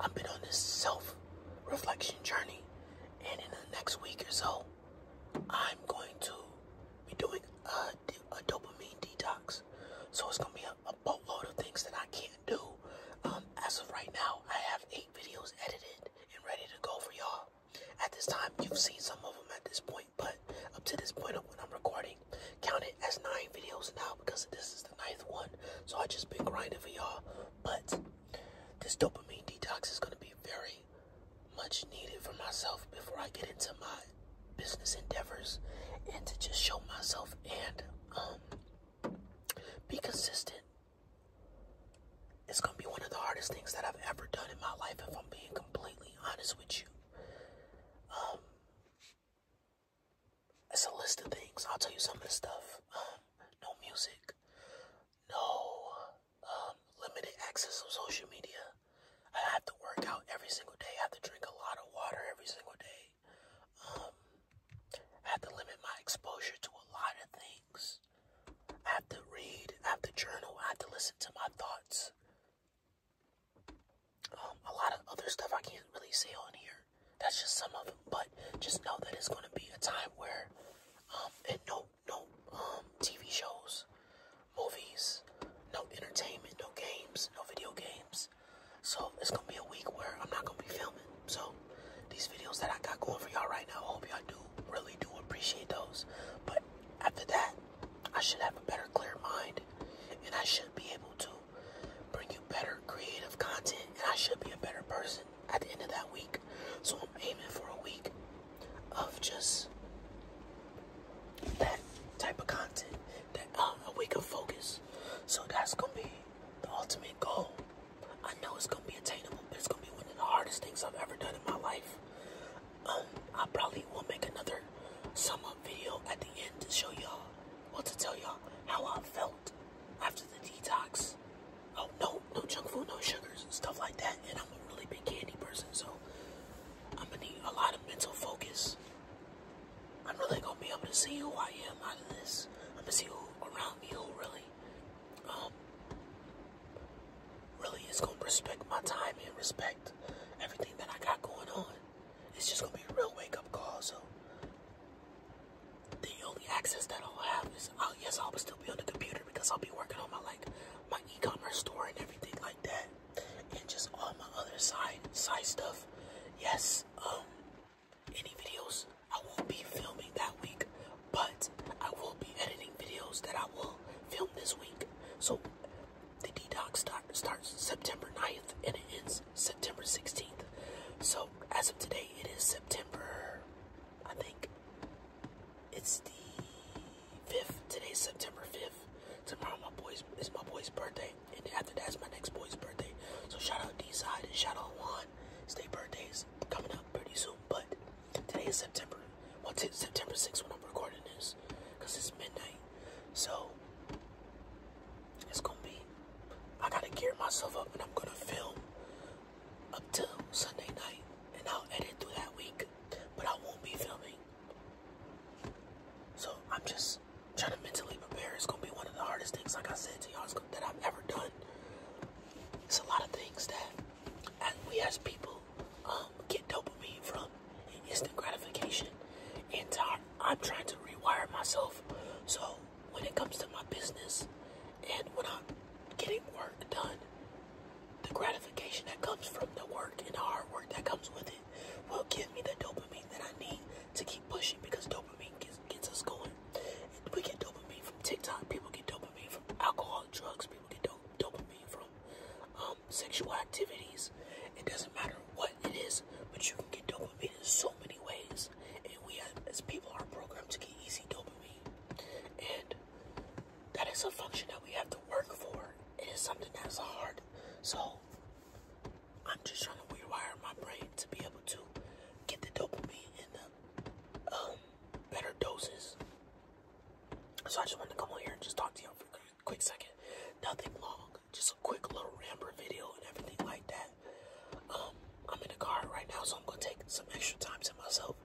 I've been on this self-reflection journey, and in the next week or so, I'm going to be doing a, a dopamine detox. So it's gonna be a, boatload of things that I can't do. Um, as of right now, I have eight videos edited and ready to go for y'all. At this time, you've seen some of them at this point, but up to this point of when I'm recording, count it as nine videos now because this is the ninth one. So I just been grinding for y'all. But this dopamine detox is gonna be very much needed for myself before I get into my business endeavors and to just show myself and um, be consistent. It's gonna be one of the hardest things that I've ever done in my life if I'm being completely honest with you. Um, it's a list of things. I'll tell you some of the stuff. Um, no music, no um, limited access to social media. I have to work out every single day. I have to drink a lot of water every single day. Um, I have to limit my exposure to a lot of things. I have to read. I have to journal. I have to listen to my thoughts um, a lot of other stuff I can't really say on here. That's just some of it, but just know that it's gonna be a time where, um, and no, no, um, TV shows, movies, no entertainment, no games, no video games. So it's gonna be a week where I'm not gonna be filming. So these videos that I got going for y'all right now, I hope y'all do really do appreciate those. But after that, I should have a better clear mind, and I should be able to bring you better creative content, and I should be a better person at the end of that week. So I'm aiming for a week of just that type of content, that uh, a week of focus. So that's gonna be the ultimate goal. I know it's gonna be attainable, but it's gonna be one of the hardest things I've ever done in my life. Um, I probably will make another sum video at the end to show y'all well, to tell y'all how I felt after the detox. Oh, no, no junk food, no sugars, and stuff like that. And I'm a really big candy person, so I'm gonna need a lot of mental focus. I'm really gonna be able to see who I am out of this. I'm gonna see who around me who really, um, really is gonna respect my time and respect everything that I got going on it's just gonna be a real wake-up call. So the only access that I'll have is, oh yes, I'll still be on the computer because I'll be working on my like my e-commerce store and everything like that, and just all my other side side stuff. Yes, um, any videos I won't be filming that week, but I will be editing videos that I will film this week. So the detox start, starts September 9th and it ends September 16th. So as of today, it is September, I think it's the 5th. Today's September 5th. Tomorrow my boy's, is my boy's birthday. And after that's my next boy's birthday. So shout out D-Side and shout out Juan. Stay birthdays coming up pretty soon. But today is September, What's it? September 6th when I'm recording this. Because it's midnight. So it's gonna be, I gotta gear myself up and I'm gonna film up till Sunday night and I'll edit through that week, but I won't be filming. So I'm just trying to mentally prepare. It's gonna be one of the hardest things, like I said to y'all, that I've ever done. It's a lot of things that, as we as people, um, get dopamine from instant gratification. And I'm trying to rewire myself. So when it comes to my business and when I'm getting work done, the gratification that comes from the work and the hard work that comes with it will give me the dopamine that I need to keep pushing because dopamine gets, gets us going. And we get dopamine from TikTok, people get dopamine from alcohol, drugs, people get dopamine from um, um, sexual activities. It doesn't matter what it is, but you can get dopamine in so many ways. And we, have, as people, are programmed to get easy dopamine. And that is a function that we have to work for. It is something that's hard. So I'm just trying to rewire my brain to be able to get the dopamine in the um, better doses. So I just wanted to come on here and just talk to y'all for a quick second. Nothing long, just a quick little ramble video and everything like that. Um, I'm in the car right now, so I'm gonna take some extra time to myself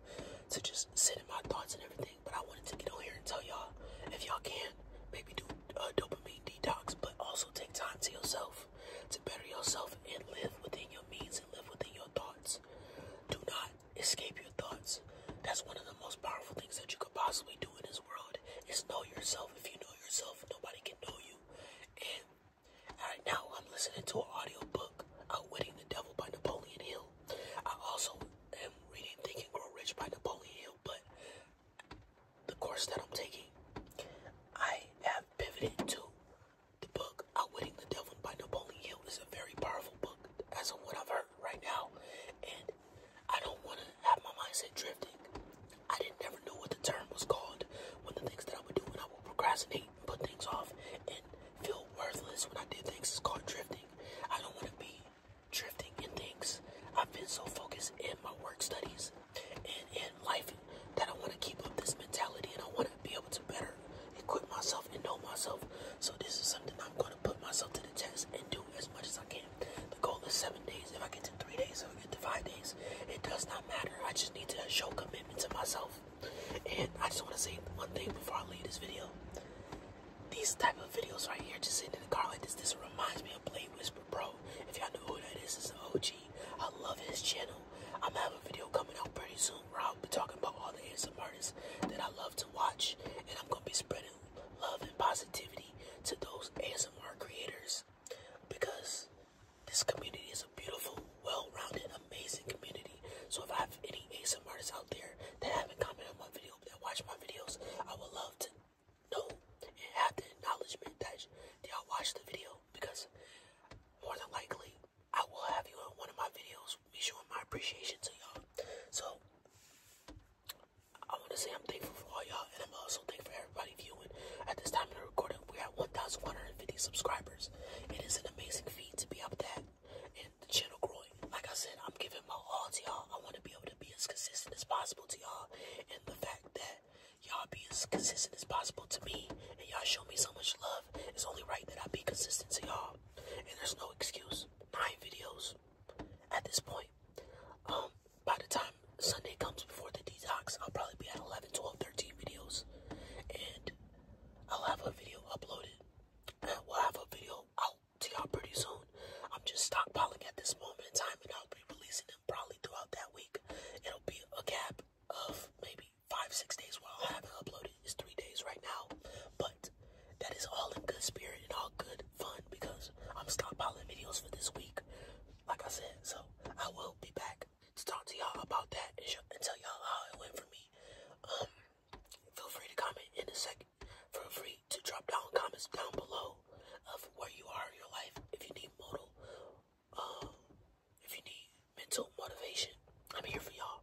to just sit in my thoughts and everything. But I wanted to get on here and tell y'all if y'all can, maybe do a uh, dopamine detox, but also take time to yourself to better yourself and live within your means and live within your thoughts. Do not escape your thoughts. That's one of the most powerful things that you could possibly do in this world is know yourself. If you know yourself, nobody can know you. And right now, I'm listening to an audio book, Outwitting the Devil by Napoleon Hill. I also am reading Think and Grow Rich by Napoleon Hill, but the course that I'm taking, I have pivoted to the book Outwitting the Devil by Napoleon Hill. is a very powerful book, as of what I've heard right now, and I don't want to have my mindset drifting. I didn't never know what the term was called when the things that I would do when I would procrastinate, put things off, and feel worthless when I did things is called drifting. I don't want to be drifting in things. I've been so focused in my work studies and in life that I want to keep up this mentality and I want to be able to better equip myself and know myself. So this is something I'm going to put myself to the test and do as much as I can. The goal is seven days. If I get to three days, if I get to five days, it does not matter. I just need to show commitment to myself. And I just want to say one thing before I leave this video. These type of videos right here, just sitting in the car like this, this reminds me of Blade Whisper bro. If y'all know who that is, it's an OG. I love his channel. I'm gonna have a video coming out pretty soon where I'll be talking about all the ASM artists that I love to watch. And I'm going to be spreading love and positivity to those ASMR creators because this community is a beautiful, well-rounded, amazing community. So if I have any ASMR artists out there that haven't commented on my video, that watch my videos, I would love to know and have the acknowledgement that y'all watched the video because more than likely, I will have you in one of my videos, Be showing my appreciation to y'all. So, I want to say I'm thankful for all y'all, and I'm also thankful for everybody viewing. At this time of the recording, we're at 1,150 subscribers. It is an amazing feat to be up there and the channel growing. Like I said, I'm giving my all to y'all. I want to be able to be as consistent as possible to y'all, and the fact that y'all be as consistent as possible to me, and y'all show me so much love, it's only right that I be consistent to y'all. And there's no excuse. My videos, at this point. Um, by the time Sunday comes before the detox, I'll probably be at 11, 12, 13 videos. And I'll have a video uploaded. And we'll have a video out to y'all pretty soon. I'm just stockpiling at this moment in time, and I'll be releasing them probably throughout that week. It'll be a gap of maybe five, six days where I'll have it uploaded. It's three days right now. But that is all in good spirit and all good fun because I'm stockpiling videos for this week, like I said. So I will be back to talk to y'all about that and, and tell y'all how it went for me. Um, feel free to comment in a second. Feel free to drop down comments down below of where you are in your life. If you need modal, um, if you need mental motivation, I'm here for y'all.